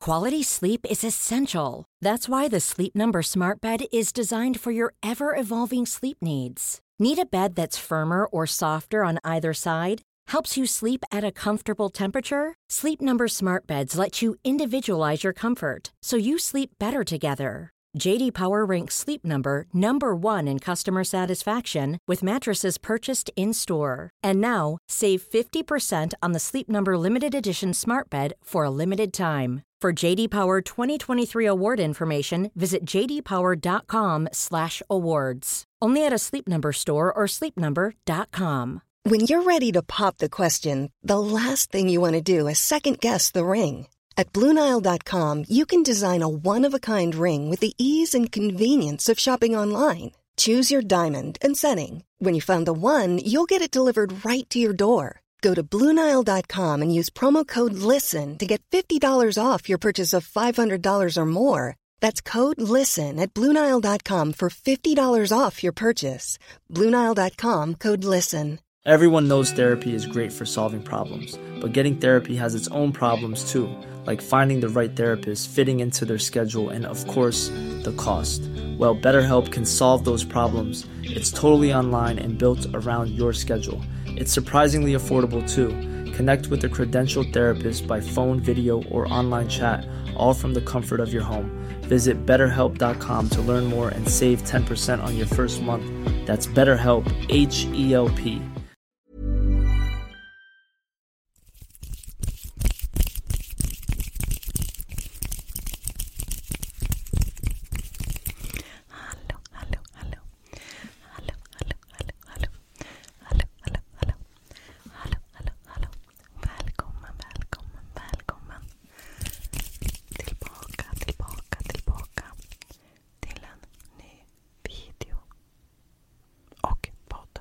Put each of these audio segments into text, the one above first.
Quality sleep is essential. That's why the Sleep Number Smart Bed is designed for your ever evolving sleep needs. Need a bed that's firmer or softer on either side? Helps you sleep at a comfortable temperature? Sleep Number Smart Beds let you individualize your comfort so you sleep better together. JD Power ranks Sleep Number number 1 in customer satisfaction with mattresses purchased in-store. And now, save 50 50% on the Sleep Number limited edition smart bed for a limited time. For JD Power 2023 award information, visit jdpower.com/awards. Only at a Sleep Number store or sleepnumber.com. When you're ready to pop the question, the last thing you want to do is second guess the ring. At bluenile.com, you can design a one-of-a-kind ring with the ease and convenience of shopping online. Choose your diamond and setting. When you find the one, you'll get it delivered right to your door. Go to Bluenile.com and use promo code LISTEN to get $50 off your purchase of $500 or more. That's code LISTEN at Bluenile.com for $50 off your purchase. Bluenile.com code LISTEN. Everyone knows therapy is great for solving problems, but getting therapy has its own problems too, like finding the right therapist, fitting into their schedule, and of course, the cost. Well, BetterHelp can solve those problems. It's totally online and built around your schedule. It's surprisingly affordable too. Connect with a credentialed therapist by phone, video, or online chat, all from the comfort of your home. Visit betterhelp.com to learn more and save 10% on your first month. That's BetterHelp, H E L P. Hallå, hallå, hallå. Hallå, hallå, hallå, hallå. Hallå, hallå, hallå. Hallå, hallå, hallå. Välkommen, välkommen, välkommen. Tillbaka, tillbaka, tillbaka. Till en ny video. Och podd.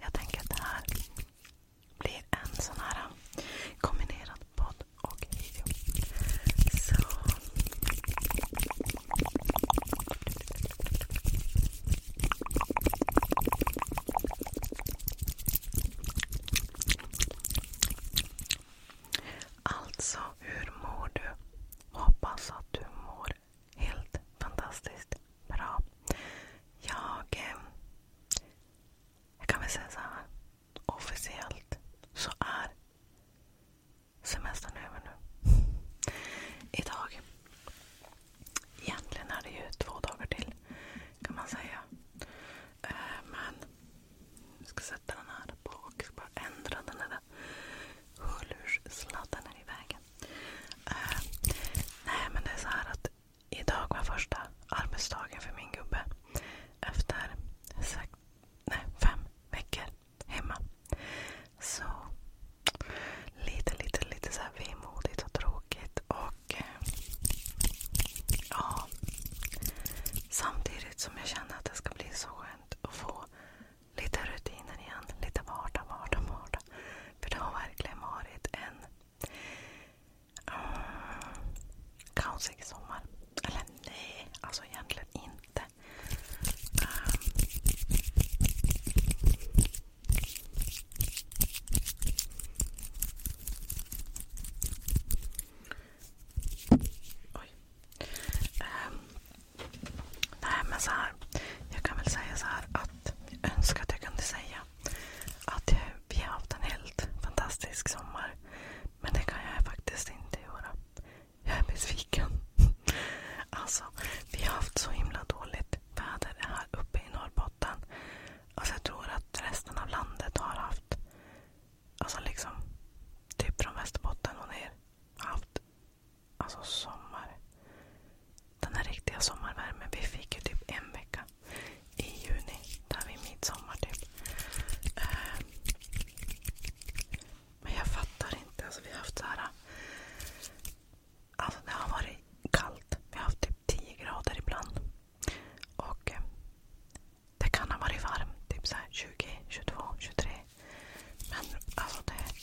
Jag tänker att det här blir en sån här äh, kombinerad podd och video. Så... Alltså, hur mår du? Hoppas att du mår helt fantastiskt bra. Jag eh, jag kan väl säga så här. Officiellt så är semestern över nu. Idag. Egentligen är det ju två dagar till kan man säga. Eh, men jag ska sätta den här på och bara ändra den där hörlurssladden i vägen. Eh, nej men det är så här att Idag var första arbetsdagen för min gubbe efter sex, nej, fem veckor hemma. Så lite, lite, lite så här vemodigt och tråkigt. Och eh, ja, samtidigt som jag känner att det ska bli så skönt att få lite rutiner igen. Lite vardag, vardag, vardag. För det har verkligen varit en Ah, Kaosig sommar. Eller nej, alltså egentligen inte. Ehm. Oj. Ehm. Nej men så här. Jag kan väl säga så här att jag önskar att jag kunde säga att vi har haft en helt fantastisk sommar. Men det kan jag faktiskt inte göra. Jag är besviken. Alltså, vi har haft så himla dåligt väder här uppe i Norrbotten. Alltså jag tror att resten av landet har haft, alltså liksom typ från Västerbotten och ner, haft alltså sommar. Den här riktiga sommarvärmen. Vi fick ju typ en vecka i juni, där vid midsommar typ. Eh, men jag fattar inte. Alltså, vi har haft så här, alltså, det har varit kallt. Vi har haft typ 10 grader ibland. Och eh, det kan ha varit varmt. Typ så här 20, 22, 23. Men alltså det,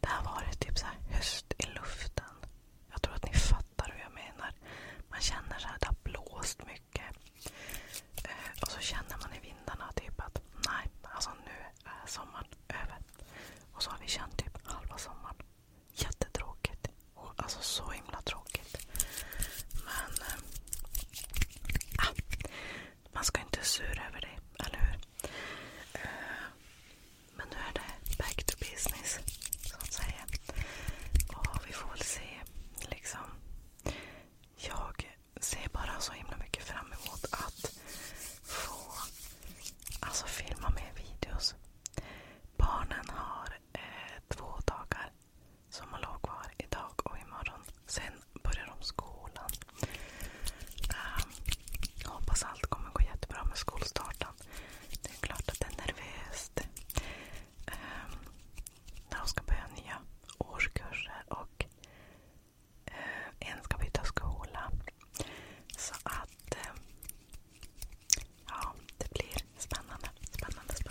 det har varit typ så här höst i luften. Jag tror att ni fattar hur jag menar. Man känner så här, det har blåst mycket. Eh, och så känner man i vindarna typ att nej, alltså nu är sommaren över. Och så har vi känt typ halva sommaren. Jättetråkigt. Och, alltså så himla tråkigt. Men... Eh, ah, man ska inte sura över det, eller hur? Eh, men nu är det back to business, så att säga vi får väl se. Liksom, jag ser bara så himla mycket fram emot att få alltså, filma mer videos. Barnen har eh, två dagar som kvar idag och imorgon. Sen börjar de skolan. Ehm, hoppas allt kommer gå jättebra med skolstarten. Det är klart att det är nervöst eh, när de ska börja nya årskurser och eh, en ska byta skola. Så att eh, ja, det blir spännande, spännande, spännande.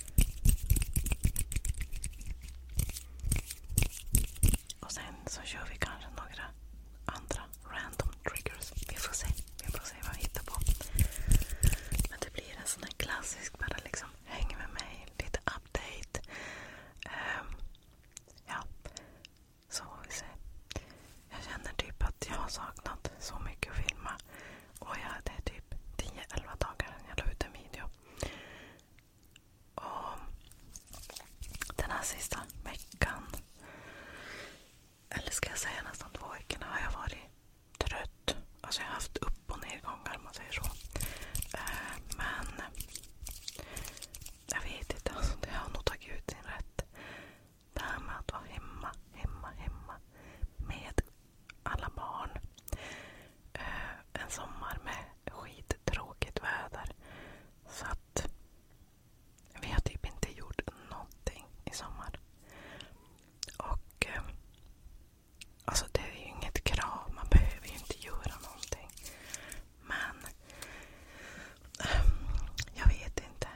Och sen så kör vi kanske några andra random triggers. Vi får se, vi får se vad vi hittar på. Men det blir en sån här klassisk, bara liksom häng med mig, lite update. Ehm, ja, så får vi se. Jag känner typ att jag har saknat så mycket att filma. Och jag, det är typ 10-11 dagar sedan jag la ut en video. Och den här sista veckan, eller ska jag säga nästan två veckorna, har jag varit trött. Alltså jag har haft upp och nedgångar om man säger så. Eh, men jag vet inte, alltså det har nog tagit ut sin rätt. Det här med att vara hemma, hemma, hemma med alla barn. Eh, en sommar med skittråkigt väder. Så att vi har typ inte gjort någonting i sommar. Och eh, alltså det är ju inget krav. Man behöver ju inte göra någonting. Men eh, jag vet inte.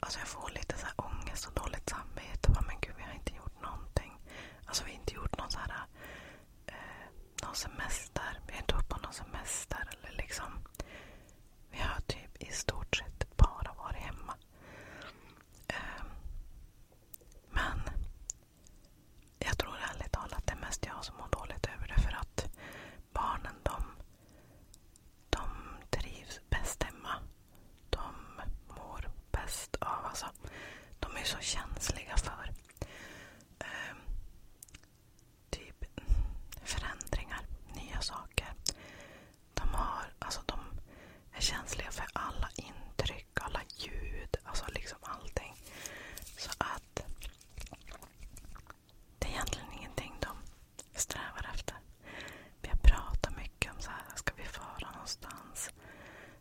Alltså jag får lite så här ångest och dåligt samvete. Men gud, vi har inte gjort någonting. Alltså vi har inte gjort någon, så här, eh, någon semester. Vi har inte varit på någon semester. Eller liksom, vi har typ i stort sett bara varit hemma. Ehm, men jag tror ärligt talat det är mest jag som mår dåligt över det. För att barnen de, de trivs bäst hemma de mår bäst av. Alltså, de är så känsliga för eh, typ förändringar, nya saker. De, har, alltså, de är känsliga för alla intryck, alla ljud, alltså liksom allting. Så att det är egentligen ingenting de strävar efter. Vi har pratat mycket om så här, ska vi fara någonstans?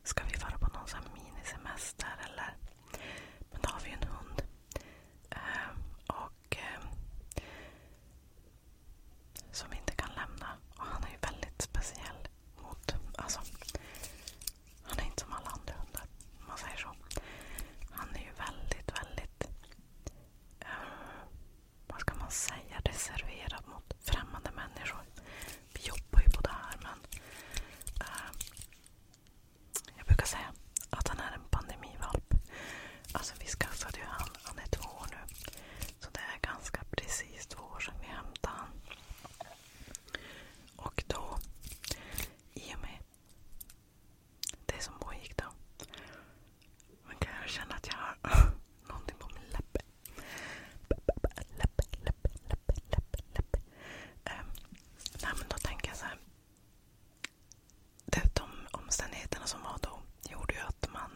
Ska vi vara på någon sån minisemester eller? Men då har vi ju en hund. Eh, och eh, Som vi inte kan lämna. Och han är ju väldigt speciell. mot, alltså Han är inte som alla andra hundar. Om man säger så. Han är ju väldigt, väldigt eh, vad ska man säga, reserverad mot främmande människor. Vi jobbar ju på det här men eh, jag brukar säga att han är en pandemivalp. Alltså vi skaffade ju han, han är två år nu. Så det är ganska precis två år sedan vi hämtade han. Och då, i och med det som pågick då. Man kan känna att jag har någonting på min läpp. Läpp, läpp, läpp, läpp, läpp. Um, ehm, nej, men då tänker jag så här. Det, de omständigheterna som var då gjorde ju att man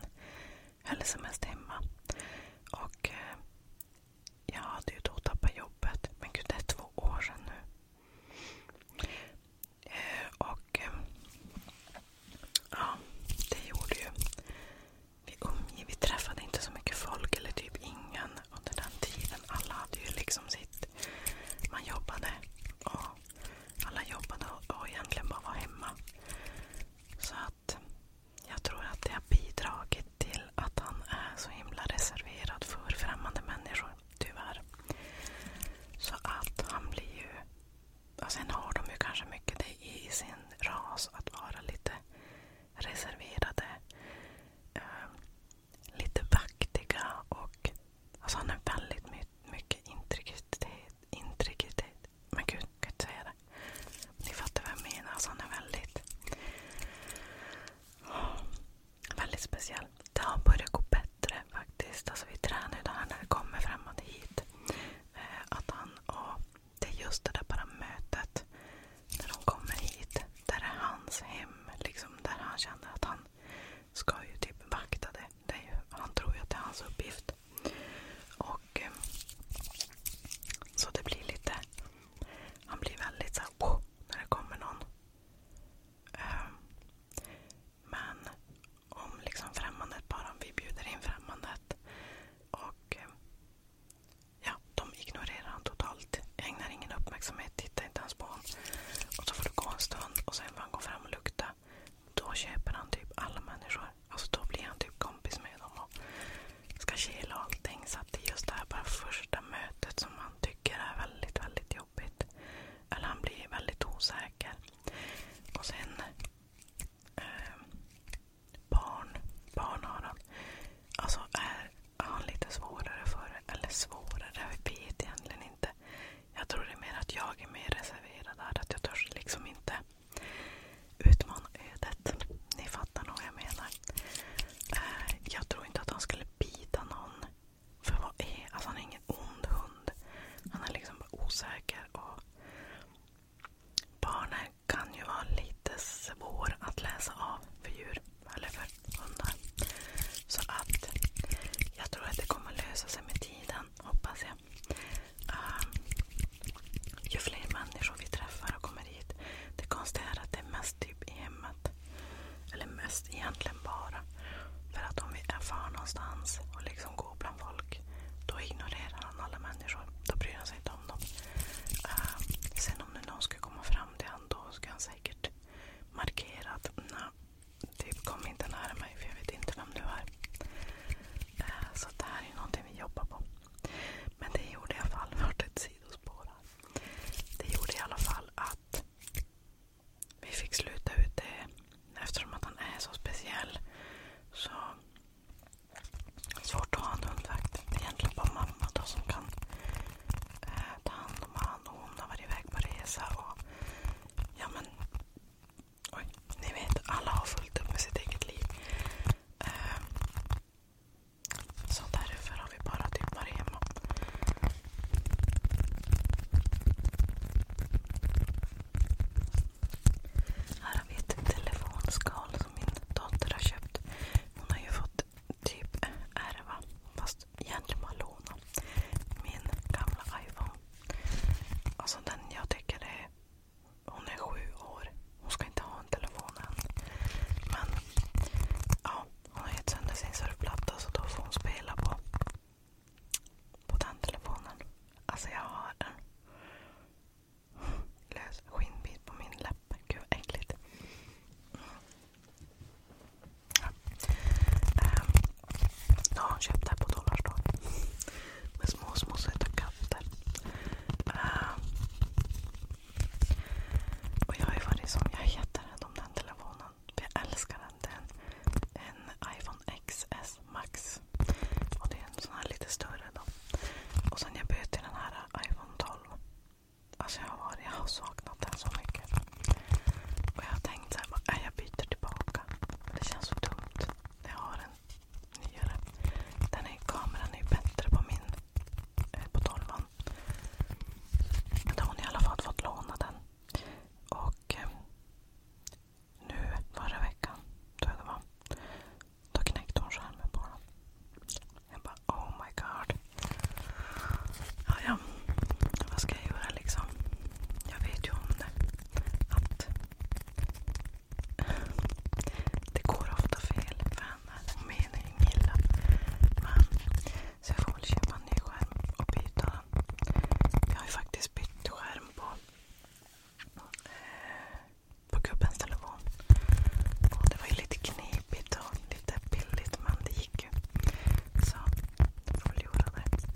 höll sig mest hemma. Och eh, jag hade ju då tappat jobbet. Men gud, det är två år sedan nu. Eh, och eh, ja, det gjorde ju vi träffade inte så mycket folk, eller typ ingen under den tiden. Alla hade ju liksom sitt... Man jobbade. Alla jobbade och egentligen bara var hemma. Så att jag tror att det har bidragit till att han är så himla reserverad för främmande människor. Tyvärr. Så att han blir ju... sen har de ju kanske mycket det i sin ras att vara lite reserverade. Eh, lite vaktiga och alltså han är väldigt my mycket integritet. integritet. Men gud, jag kan inte säga det. Ni fattar vad jag menar. Alltså han är väldigt oh, väldigt speciell. Det har börjat gå bättre faktiskt. Alltså vi tränar ju det här när det kommer framåt hit. Eh, att han och det är just det där bara mötet när de kommer hit. Där är hans hem. Liksom, där han känner att han ska ju typ vakta det. det ju, han tror ju att det är hans uppgift. Och eh, Så det blir lite... Han blir väldigt såhär wow, när det kommer någon. Eh, men om liksom främmandet bara, om vi bjuder in främmandet och eh, Ja, de ignorerar han totalt. Ägnar ingen uppmärksamhet, tittar inte ens på honom. Och så får det gå en stund och sen får han gå fram och lukta. Då köper han typ alla människor. Alltså då blir han typ kompis med dem och ska kela allting. Så att det är just det här bara första mötet som han tycker är väldigt, väldigt jobbigt. Eller han blir väldigt osäker. Och sen eh, barn, barn har han. Alltså är han lite svårare för det? Eller svårare? Jag vet egentligen inte. Jag tror det är mer att jag är mer reserverad där. Att jag törs liksom inte utmana ödet. Ni fattar nog vad jag menar. Eh, jag tror inte att han skulle bita någon. För vad är... Alltså han är ingen ond hund. Han är liksom bara osäker. och Barn är kan ju vara lite svår att läsa av för djur eller för hundar. Så att jag tror att det kommer lösa sig med tiden, hoppas jag. Um, ju fler människor vi träffar och kommer hit. Det konstiga är att det är mest typ i hemmet. Eller mest egentligen bara. För att om vi är för någonstans och liksom går bland folk, då ignorerar han alla människor. Då bryr han sig inte om honom. Eh, sen om nu någon ska komma fram till honom då ska han säkert markera att nej, typ kom inte nära mig för jag vet inte vem du är. Eh, så det här är någonting vi jobbar på. Men det gjorde i alla fall, vart ett sidospår här. Det gjorde i alla fall att vi fick sluta ut det eftersom att han är så speciell. Så svårt att ha en hundvakt. Det är egentligen bara mamma då som kan eh, ta hand om honom. Och Hon har varit iväg på resa. Och, ja, men, oj, ni vet, alla har fullt upp med sitt eget liv. Eh, så därför har vi bara typ varit Här har vi ett telefonskal som min dotter har köpt. Hon har ju fått typ ärva, fast egentligen bara låna, min gamla iPhone. Alltså den jag tycker är... Hon är sju år. Hon ska inte ha en telefon än. Men ja, hon har gett sönder sin surfplatta så då får hon spela på, på den telefonen. Alltså jag har den lös skinnbit på min läpp. Gud vad äckligt. Ja. Ehm, har hon köpt det här på Dollarstore. Med små, små söta katter. Ehm, och jag har varit jätterädd om den telefonen. För jag älskar den. Det är en, iPhone XS Max. Och det är en sån här lite större Och sen jag bytte den här iPhone 12. Alltså jag har, jag har saknat den så mycket. Och jag har tänkt såhär, äh, jag byter tillbaka. det känns så dumt när jag har en nyare. Den här kameran är ju bättre på min, eh, på 12 Men då har hon i alla fall fått låna den. Och eh, nu förra veckan, tror jag det var, då knäckte hon skärmen på dem. Jag bara oh my god. Ja, ja. Vad ska jag göra liksom? Jag vet ju om det. Att det går ofta fel för henne. Hon menar ju inget illa. Men så jag får väl köpa en ny skärm och byta den. Jag har ju faktiskt bytt skärm på eh, på gubbens telefon. det var ju lite knepigt och lite billigt men det gick ju. Så jag får väl göra det.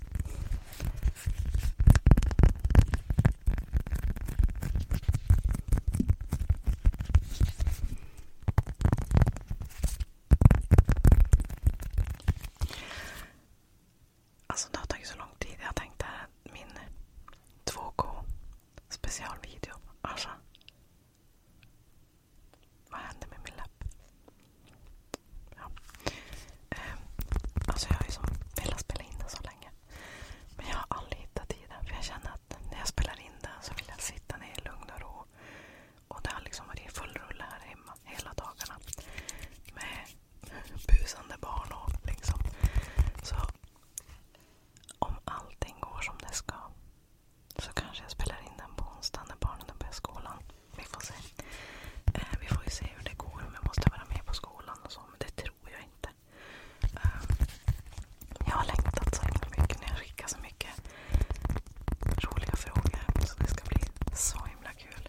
Alltså det har tagit så lång tid. Jag tänkte att min 2K specialvideo. Alltså. Vad hände med min läpp? Ja. Eh, alltså jag har ju som velat spela in den så länge. Men jag har aldrig hittat tiden. För jag känner att när jag spelar in den så vill jag sitta ner i lugn och ro. Och det har liksom varit full rulle här hemma hela dagarna. Med busande barn och liksom. Så om allting går som det ska så kanske jag spelar in den på onsdag när barnen börjar skolan. Vi får se. Eh, vi får ju se hur det går om jag måste vara med på skolan och så. Men det tror jag inte. Eh, jag har längtat så himla mycket när jag skickar så mycket roliga frågor. Så det ska bli så himla kul.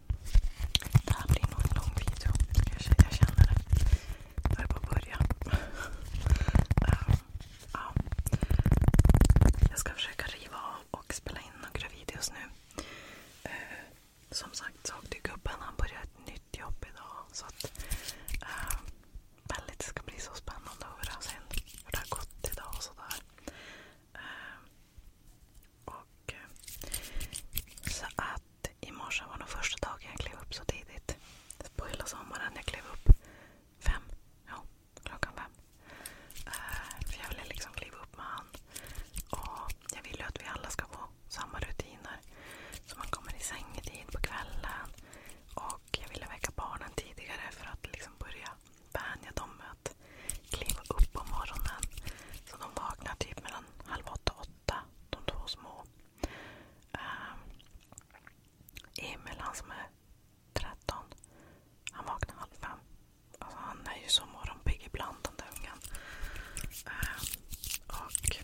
det här blir nog en lång video. Jag känner det. Jag är på början. um, ja. Jag ska försöka riva av och spela in några videos nu. Uh, som sagt så åkte gubben. Han börjar ett nytt jobb idag. Så att, uh, väldigt, det ska bli så spännande att höra sen hur det har gått idag och sådär. Uh, och, eh, så att i morse var nog första dagen jag klev upp så tidigt. På hela sommaren. Jag klev upp klockan fem. Eh, för jag ville liksom kliva upp med han. Och jag vill ju att vi alla ska få samma rutiner. Så man kommer i säng i tid på kvällen. Och jag ville väcka barnen tidigare för att liksom börja vänja dem med att kliva upp på morgonen. Så de vaknar typ mellan halv åtta och åtta, de två små. Ehm, Emil, han som är 13, han vaknar halv fem. Alltså, han är ju så morgonpigg ibland den där ungen. Ehm, och,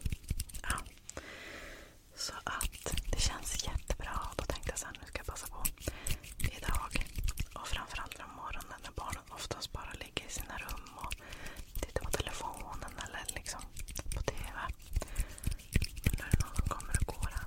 ja. Så att det känns jättebra. Då tänkte jag så nu ska jag passa på idag. Och framförallt från morgonen när barnen oftast bara ligger i sina rum och tittar på telefonen eller liksom på TV. Men nu är någon som kommer och går här.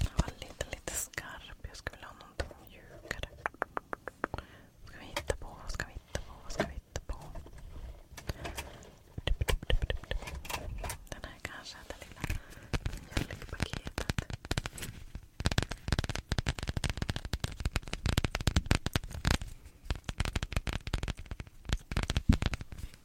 Den var lite, lite skarp. Jag skulle vilja ha någonting mjukare. Vad ska vi hitta på? Vad ska vi hitta på? Vad ska vi hitta på? Den här kanske, det lilla mjölkpaketet. Jag...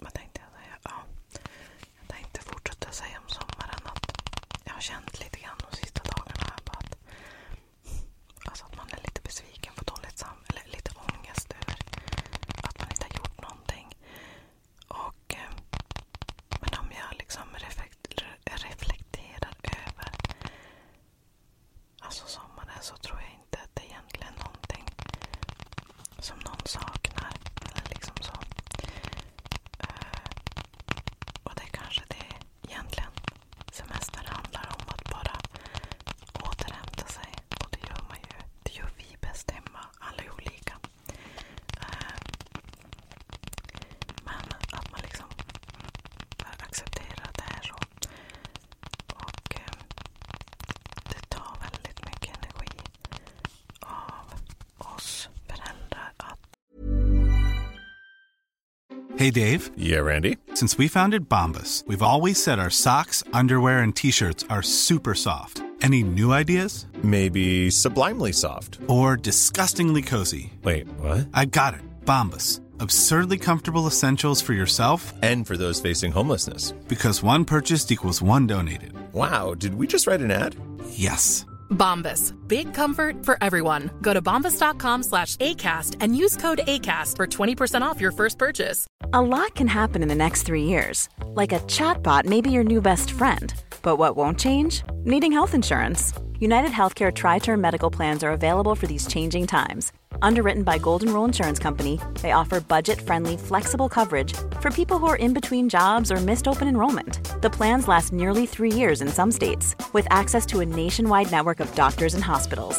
Vad tänkte jag säga? jag tänkte fortsätta säga om sommaren att jag har känt lite grann de sista dagarna här på att Alltså att man är lite besviken på dåligt samvete, eller lite ångest över att man inte har gjort någonting. Och, eh, men om jag liksom reflekterar över alltså sommaren så tror jag inte att det är egentligen är någonting som någon saknar. Eller liksom så. Eh, och det är kanske det egentligen semestern handlar om. Att bara återhämta sig. Och det gör man ju. Det gör vi bäst hemma. Alla är olika. Eh, men att man liksom accepterar att det är så. Och eh, det tar väldigt mycket energi av oss föräldrar att... Hej Dave! yeah, Randy? Since we founded Bombas, we've always said our socks, underwear, and t shirts are super soft. Any new ideas? Maybe sublimely soft. Or disgustingly cozy. Wait, what? I got it. Bombas, Absurdly comfortable essentials for yourself and for those facing homelessness. Because one purchased equals one donated. Wow, did we just write an ad? Yes. Bombas. Big comfort for everyone. Go to bombas.com slash ACAST and use code ACAST for 20% off your first purchase. A lot can happen in the next three years. Like a chatbot may be your new best friend. But what won't change? Needing health insurance. United Healthcare Tri Term Medical Plans are available for these changing times. Underwritten by Golden Rule Insurance Company, they offer budget friendly, flexible coverage for people who are in between jobs or missed open enrollment. The plans last nearly three years in some states, with access to a nationwide network of doctors and hospitals.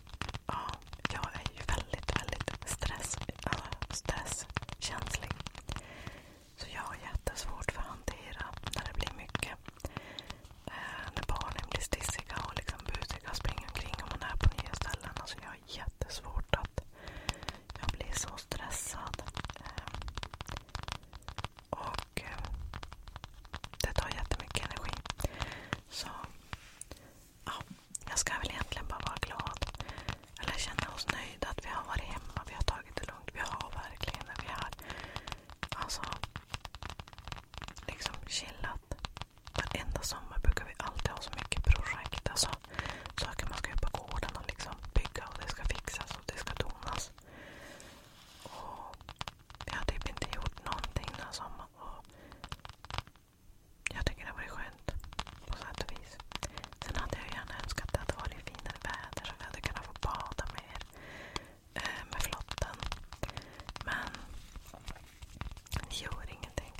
Ja, jag är ju väldigt, väldigt stress, stresskänslig. Så jag har jättesvårt för att hantera när det blir mycket. Eh, när barnen blir stissiga och liksom busiga och springer omkring och man är på nya ställen. Alltså jag har jättesvårt att... Jag blir så stressad. Eh, och eh, det tar jättemycket energi. Så ja, jag ska väl egentligen bara vara glad. Eller känna oss nöjda att vi har varit hemma. Vi har tagit det lugnt. Vi har verkligen vi har alltså liksom chillat. Varenda sommar brukar vi alltid ha så mycket projekt. Alltså, saker man ska göra på gården och liksom bygga och det ska fixas och det ska donas. Och vi har typ inte gjort någonting den här sommaren. Och jag tycker det har varit skönt på sätt och vis. Sen hade jag gärna önskat att det hade varit finare väder så vi hade kunnat få bada mer eh, med flotten. Men det gör ingenting.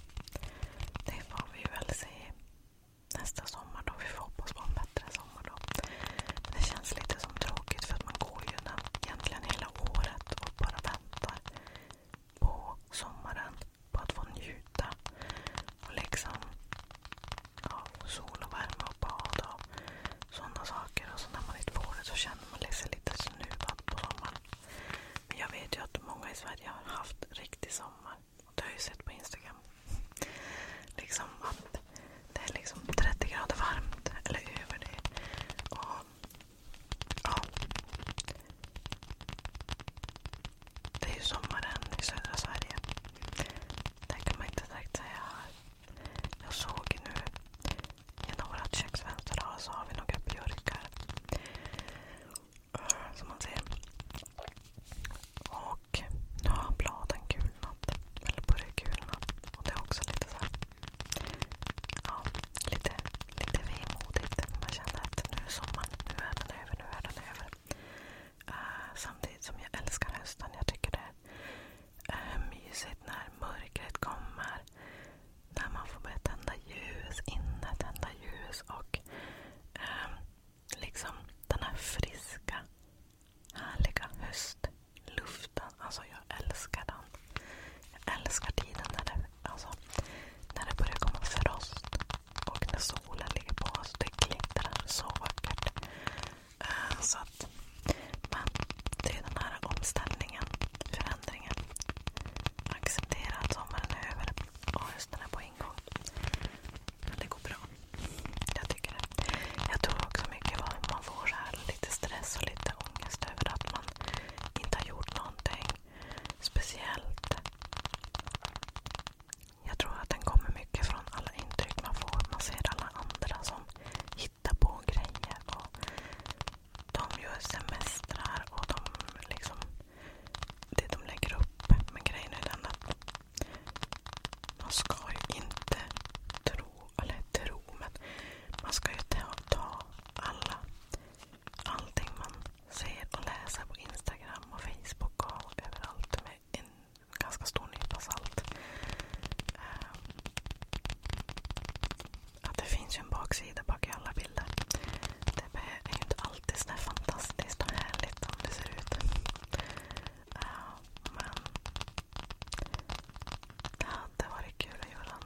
Det får vi väl se nästa sommar då. Vi får hoppas på en bättre sommar det känns lite tråkigt för man går ju egentligen hela året och bara väntar på sommaren på att få njuta. Och liksom ja, sol och värme och bad och sådana saker. Och så när man inte får det så känner man sig liksom lite snuvad på sommaren. Men jag vet ju att många i Sverige har haft riktig sommar. Och det har jag ju sett på Instagram. liksom att det är liksom 30 grader varmt, eller över det. Och, ja. Det är ju sommaren i södra Sverige. Där kan man inte direkt säga här. Jag såg nu genom vårt köksfönster så har vi några björkar. Eh, som man ser. Och nu har bladen gulnat. Eller börjar gulna. Och det är också lite så här, Ja, lite lite vemodigt. Man känner att nu är sommaren, nu är den över, nu är den över. Eh, samtidigt som jag älskar hösten. Jag tycker det är mysigt när mörkret kommer. När man får börja tända ljus inne, tända ljus och ehm, liksom den här friska, härliga höstluften. Alltså jag älskar den. Jag älskar tiden när det Alltså, när det börjar komma frost och när solen ligger på Det glittrar så vackert. Eh, men det är den här omställningen, förändringen. Acceptera att sommaren är över och hösten är på ingång. Men det går bra. Jag tycker det. Jag tror också mycket vad man får lite stress och lite ångest över att man inte har gjort någonting speciellt. Jag tror att den kommer mycket från alla intryck man får. Man ser alla andra som hittar på grejer. och De gör semestrar och de liksom, det de lägger upp. Men grejen är den att man ska ju inte tro, eller tro, men man ska ju ta, ta alla, allting man ser och läser på Instagram och Facebook och överallt med en ganska stor nypa salt. Eh, att det finns ju en baksida bak i alla bilder. Det är ju inte alltid så fantastiskt och härligt som det ser ut. Eh, men det hade varit kul att göra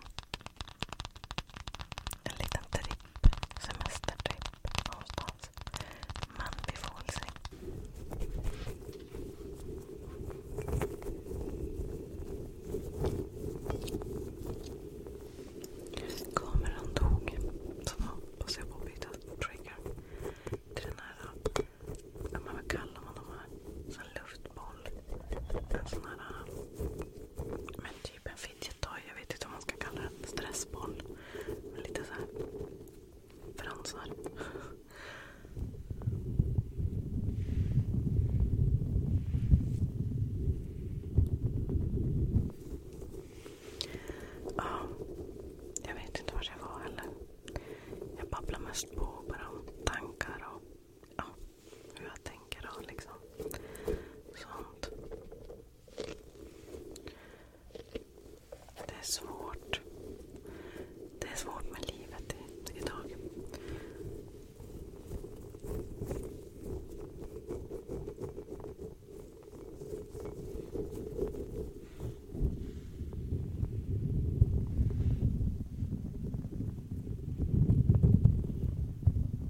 en liten tripp semestertripp någonstans. Men vi får väl se. Kameran dog. Så då hoppas jag på att byta trigger till den här. Men vad kallar man de här? En luftboll. En sån här. Men typ en fidgettoy. Jag vet inte om man ska kalla den. Stressboll. Men lite så här fransar. jag vet inte var jag var heller. Jag babblar mest på om tankar och hur jag tänker och liksom sånt. Det är svårt. Det är svårt med livet i, idag.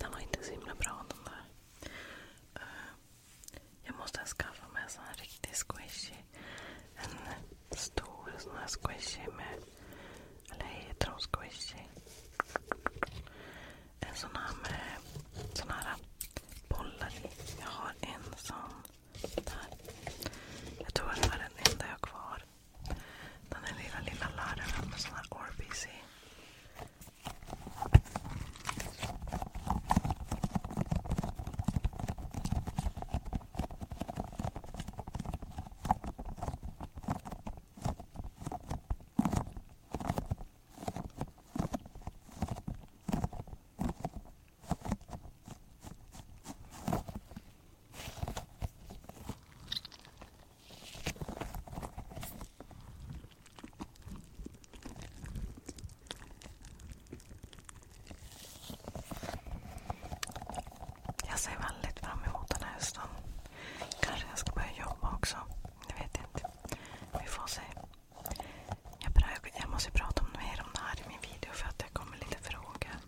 Den var inte så himla bra den där. Eh, jag måste skaffa mig en sån här riktig squishy. En stor sån här squishy med... Eller heter hon squishy? En sån här med... här bollar i. Jag har en sån där. Jag tror att det var den enda jag har kvar. Den här lilla, lilla larven med sån här Orbis i. Jag ser väldigt fram emot den här hösten. Kanske jag ska börja jobba också. Det vet inte. Vi får se. Jag, måste prata mer om det här i min video för att det kommer lite frågor.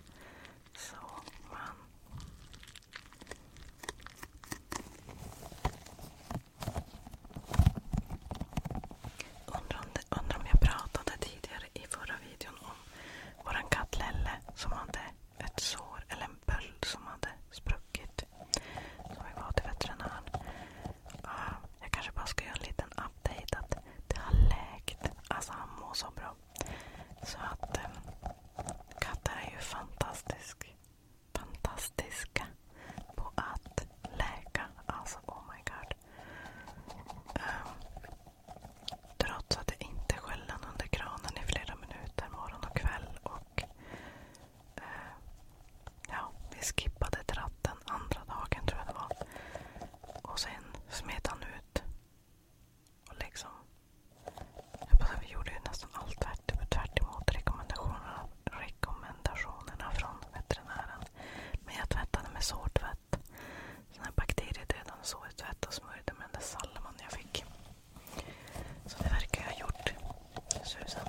Undrar om, jag pratade tidigare i förra videon om vår katt Lelle som hade ett sår eller en böld som hade spruckit. Så vi var till veterinären. Uh, jag kanske bara ska göra en liten update. Att det har läkt. Alltså han mår så bra. Så att ehm, katter är ju fantastisk. fantastiska på att läka. Alltså oh my god. Um, trots att jag inte skällde under kranen i flera minuter morgon och kväll. och uh, Ja, vi skippade tratten andra dagen tror jag det var. Och sen smet han ut. Och liksom... Jag bara, vi gjorde ju nästan allt tvärt, tvärt emot rekommendationerna, rekommendationerna från veterinären. Men jag tvättade med sårtvätt. Sån här bakteriedödande sårtvätt och smörjde med den där salman jag fick. Så det verkar jag ha gjort. Susan.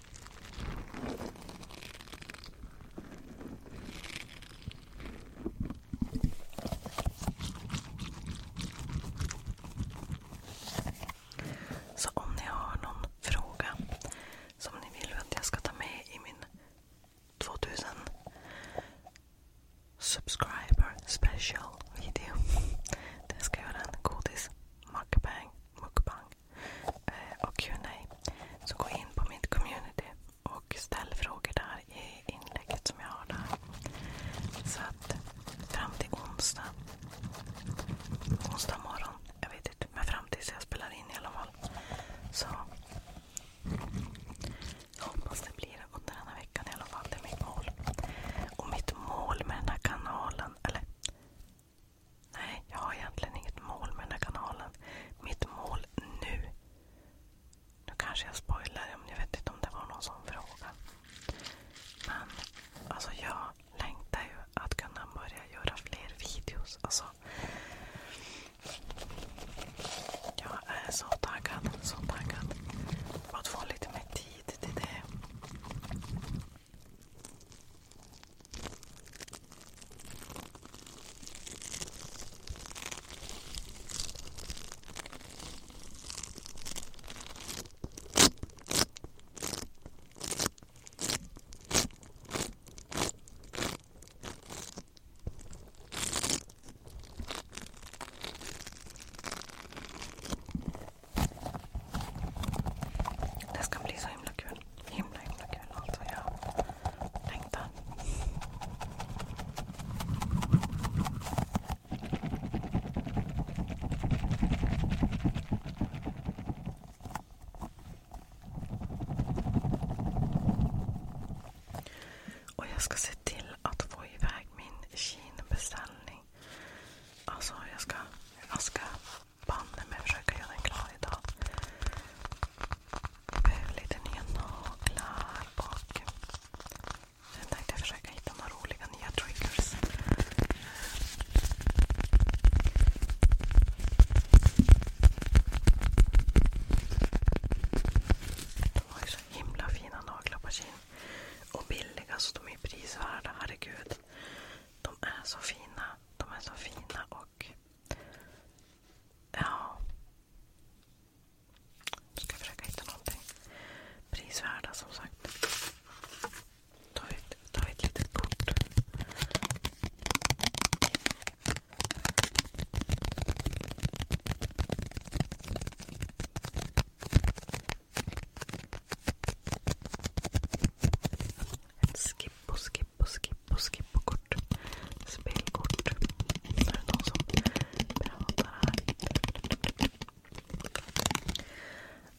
Så om ni har någon fråga som ni vill att jag ska ta med i min 2000 subscriber special video. Det ska göra en godis mukbang, mukbang Eh, och Q&A Så gå in på mitt community och ställ frågor där i inlägget som jag har där. Så att fram till onsdag. Onsdag morgon. Jag vet inte. Men fram tills jag spelar in i alla fall. Så jag hoppas det blir under den här veckan i alla fall. Det är mitt mål. Och mitt mål med den här kanalen, eller Nej, jag har egentligen inget mål med den här kanalen. Mitt mål nu. Nu kanske jag spoilar, om jag vet inte om det var någon som frågade. Men alltså jag längtar ju att kunna börja göra fler videos. Alltså, jag är så taggad, så taggad. Att få lite mer tid till det. Det ska bli så himla kul. Himla himla kul alltså. Jag längtar. Och jag ska se till att få iväg min kinbeställning. Alltså jag ska banne mig försöka göra den klar idag. lite nya naglar och sen tänkte jag försöka hitta några roliga nya triggers. De har ju så himla fina naglar på kin. Och billiga, så de är prisvärda. Herregud. De är så fina. De är så fina och Ja. Nu ska jag försöka hitta någonting prisvärda som sagt. Ta ett, ta ett litet kort. Ett skip och skipp och skipp och skipp och kort. Spelkort. Det någon som pratar här.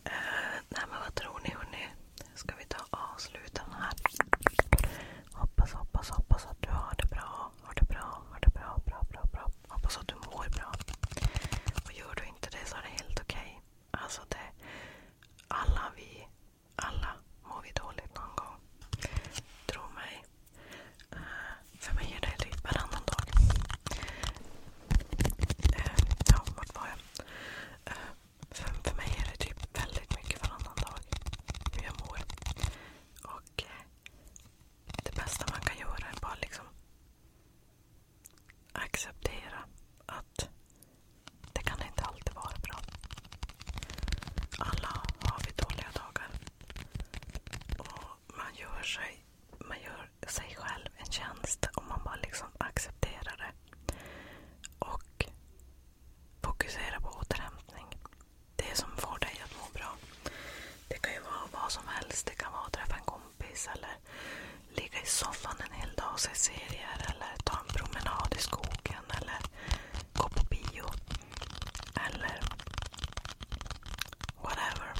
Eh, nej men vad tror ni hörni? Ska vi ta avsluta här? Hoppas, hoppas, hoppas att du har det bra. Har det bra, har det bra, bra, bra, bra. Hoppas att du mår bra. Och gör du inte det så är det helt okej. Alltså det, alla vi alla mår vi dåligt någon gång. Tro mig. Eh, för mig är det typ varannan dag. Eh, ja, vart var jag? Eh, för, mig är det typ väldigt mycket varannan dag hur jag mår. Och det bästa man kan göra är bara liksom acceptera att det kan inte alltid vara bra. Alla har vi dåliga dagar. man gör sig, själv en tjänst om man bara liksom accepterar det. Och fokuserar på återhämtning. Det som får dig att må bra. Det kan ju vara vad som helst. Det kan vara att träffa en kompis eller ligga i soffan en hel dag och se serier eller ta en promenad i skogen eller gå på bio eller whatever.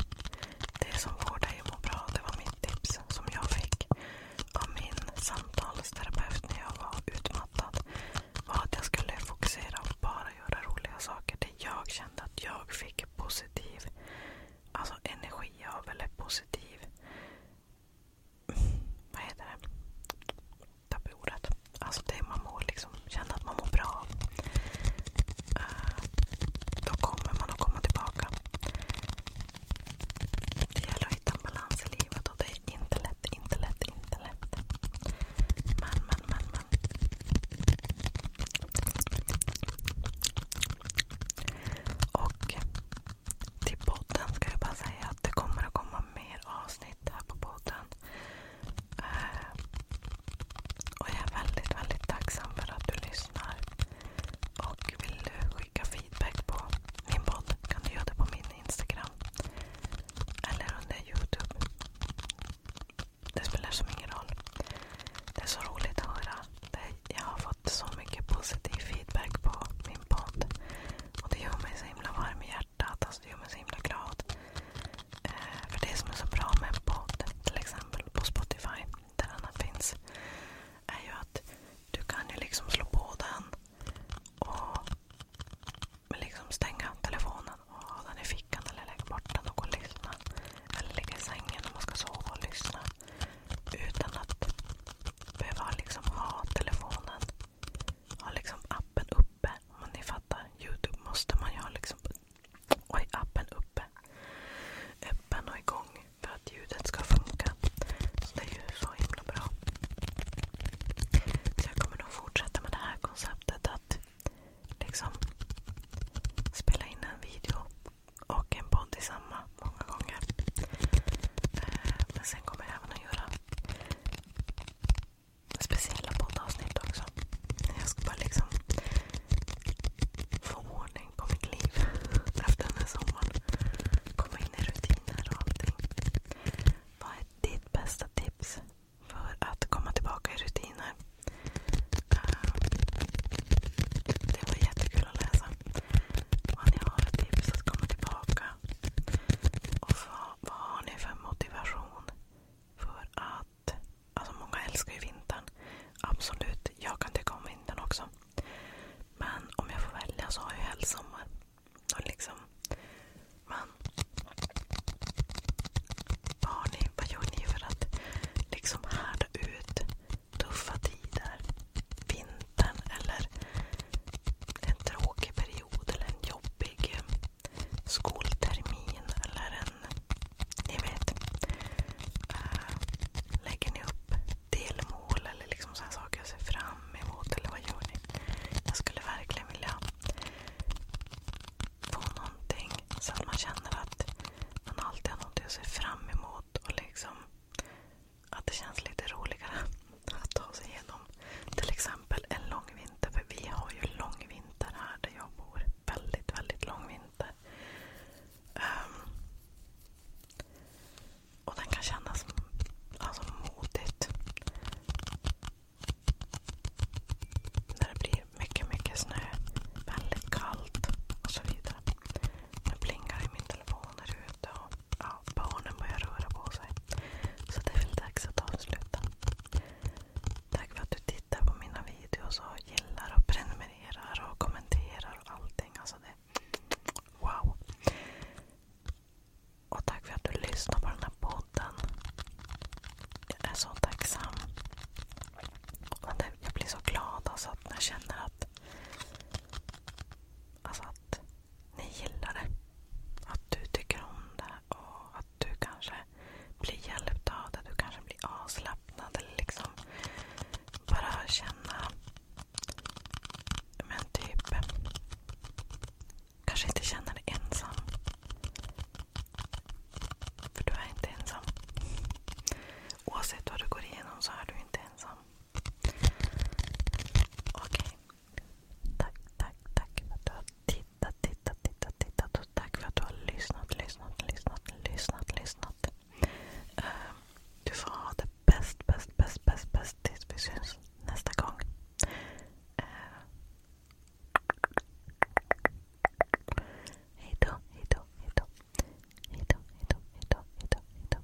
Det som får dig att må bra, det var mitt tips som jag fick av min samtalsterapeut när jag var utmattad. Var att jag skulle fokusera och bara göra roliga saker. Det jag kände att jag fick positiv alltså energi av, eller positiv vad heter det? Tappade ordet. Alltså det man mår liksom, känner att man mår bra eh, Då kommer man att komma tillbaka. Det gäller att hitta en balans i livet och det är inte lätt, inte lätt, inte lätt. Men, men, men, men. Och till podden ska jag bara säga att det kommer att komma mer avsnitt här på podden. Eh, och jag är väldigt, väldigt tacksam för att du lyssnar. Och vill du skicka feedback på min podd kan du göra det på min Instagram. Eller under Youtube. Det spelar ingen roll. Det är så roligt att höra. Det, jag har fått så mycket positiv feedback på min din podd. Och det gör mig så himla varm i hjärtat. Alltså det gör mig så himla glad. Eh, för det som är så bra med en podd, till exempel på Spotify, där annan finns, är ju att du kan ju liksom slå på den och liksom stänga telefonen och ha den i fickan eller lägga bort den och gå och lyssna. Eller ligga i sängen om man ska sova och lyssna. Utan att behöva liksom ha telefonen ha liksom appen uppe. Om ni fattar. Youtube måste man ju ha liksom, oj, appen uppe. Öppen och igång för att ljudet ska funka. det är ju så himla bra. Så jag kommer nog fortsätta med det här konceptet att liksom spela in en video och en podd i samma många gånger. Eh, men sen kommer jag även att göra speciella poddavsnitt också. Jag ska bara liksom få ordning på mitt liv efter den här sommaren. Komma in i rutiner och allting. Vad är ditt bästa tips för att komma tillbaka i rutiner? Ehm, det var jättekul att läsa. Om ni har ett tips att komma tillbaka vad har ni för motivation alltså många älskar ju vintern. Absolut, jag kan tycka om vintern också. Men om jag får välja så har jag helst liksom, men vad, gör ni för att liksom härda ut tuffa tider? Vintern eller en tråkig period eller en jobbig eh, skoltermin eller en... Ni vet. Eh, lägger ni upp delmål eller liksom saker jag ser fram emot? Eller vad gör ni? Jag skulle verkligen vilja få någonting så att man känner att man alltid har någonting att se fram emot liksom att det känns lite roligare att ta sig igenom till exempel en lång vinter. För vi har ju lång vinter här där jag bor. Väldigt, väldigt lång vinter. Ehm, och den kan kännas alltså, modigt. När det blir mycket, mycket snö. Väldigt kallt och så vidare. Nu plingar i min telefon här ute. Och ja, barnen börjar röra på sig. Så det är väl dags att avsluta. Tack för att du tittar på mina videos och gillar och prenumererar och kommenterar och allting. Alltså det, wow! Och tack för att du lyssnar på den här podden. Jag är så tacksam. Och jag blir så glad alltså att jag känner att Alltså att ni gillar det. Att du tycker om det och att du kanske blir hjälpt av det. Du kanske blir avslappnad liksom bara känna men typ kanske inte känna dig ensam. För du är inte ensam. Oavsett vad du går igenom så är du inte ensam. Okej, okay. Tack, tack, tack för att du har tittat, tittat, tittat, tittat och tack för att du har lyssnat, lyssnat, lyssnat, lyssnat, lyssnat. Uh, du får ha det bäst, bäst, bäst, bäst, bäst tills vi syns nästa gång. Uh, hej då, hej då, hej då. Hej då, hej då, hej då, hej då,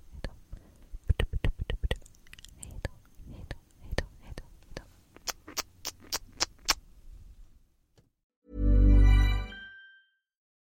hej då. Hej då,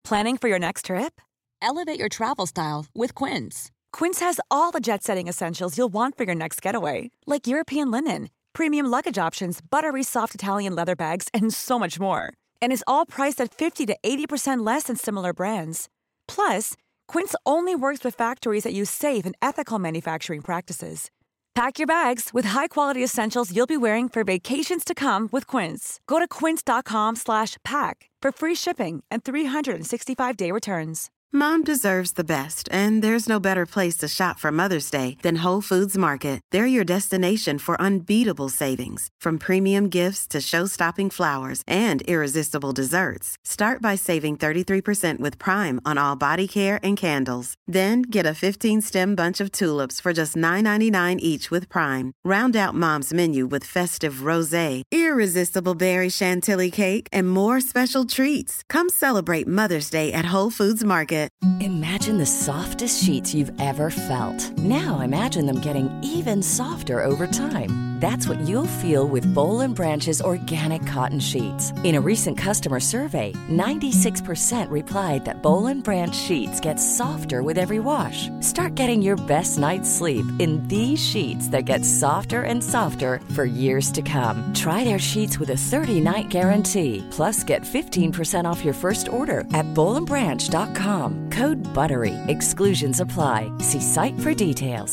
Planning for your next trip? Elevate your travel style with Quince. Quince has all the jet setting essentials you'll want for your next getaway, like European linen, premium luggage options, buttery soft Italian leather bags, and so much more. And is all priced at 50 to 80% less than similar brands. Plus, Quince only works with factories that use safe and ethical manufacturing practices. Pack your bags with high-quality essentials you'll be wearing for vacations to come with Quince. Go to quince.com/pack for free shipping and 365-day returns. Mom deserves the best, and there's no better place to shop for Mother's Day than Whole Foods Market. They're your destination for unbeatable savings, from premium gifts to show-stopping flowers and irresistible desserts. Start by saving 33% with Prime on all body care and candles. Then get a 15 stem bunch of tulips for just $9.99 each with Prime. Round out mom's menu with festive rose, irresistible berry chantilly cake, and more special treats. Come celebrate Mother's Day at Whole Foods Market. Imagine the softest sheets you've ever felt. Now imagine them getting even softer over time. That's what you'll feel with Bowl and or organic cotton sheets. In a recent customer survey, 96% replied that Bolin and Branch sheets get softer with every wash. Start getting your best night's sleep in these sheets that get softer and softer for years to come. Try their sheets with a 30-night guarantee. Plus, get 15% off your first order at BolinBranch.com. Code BUTTERY. Exclusions apply. See site for details.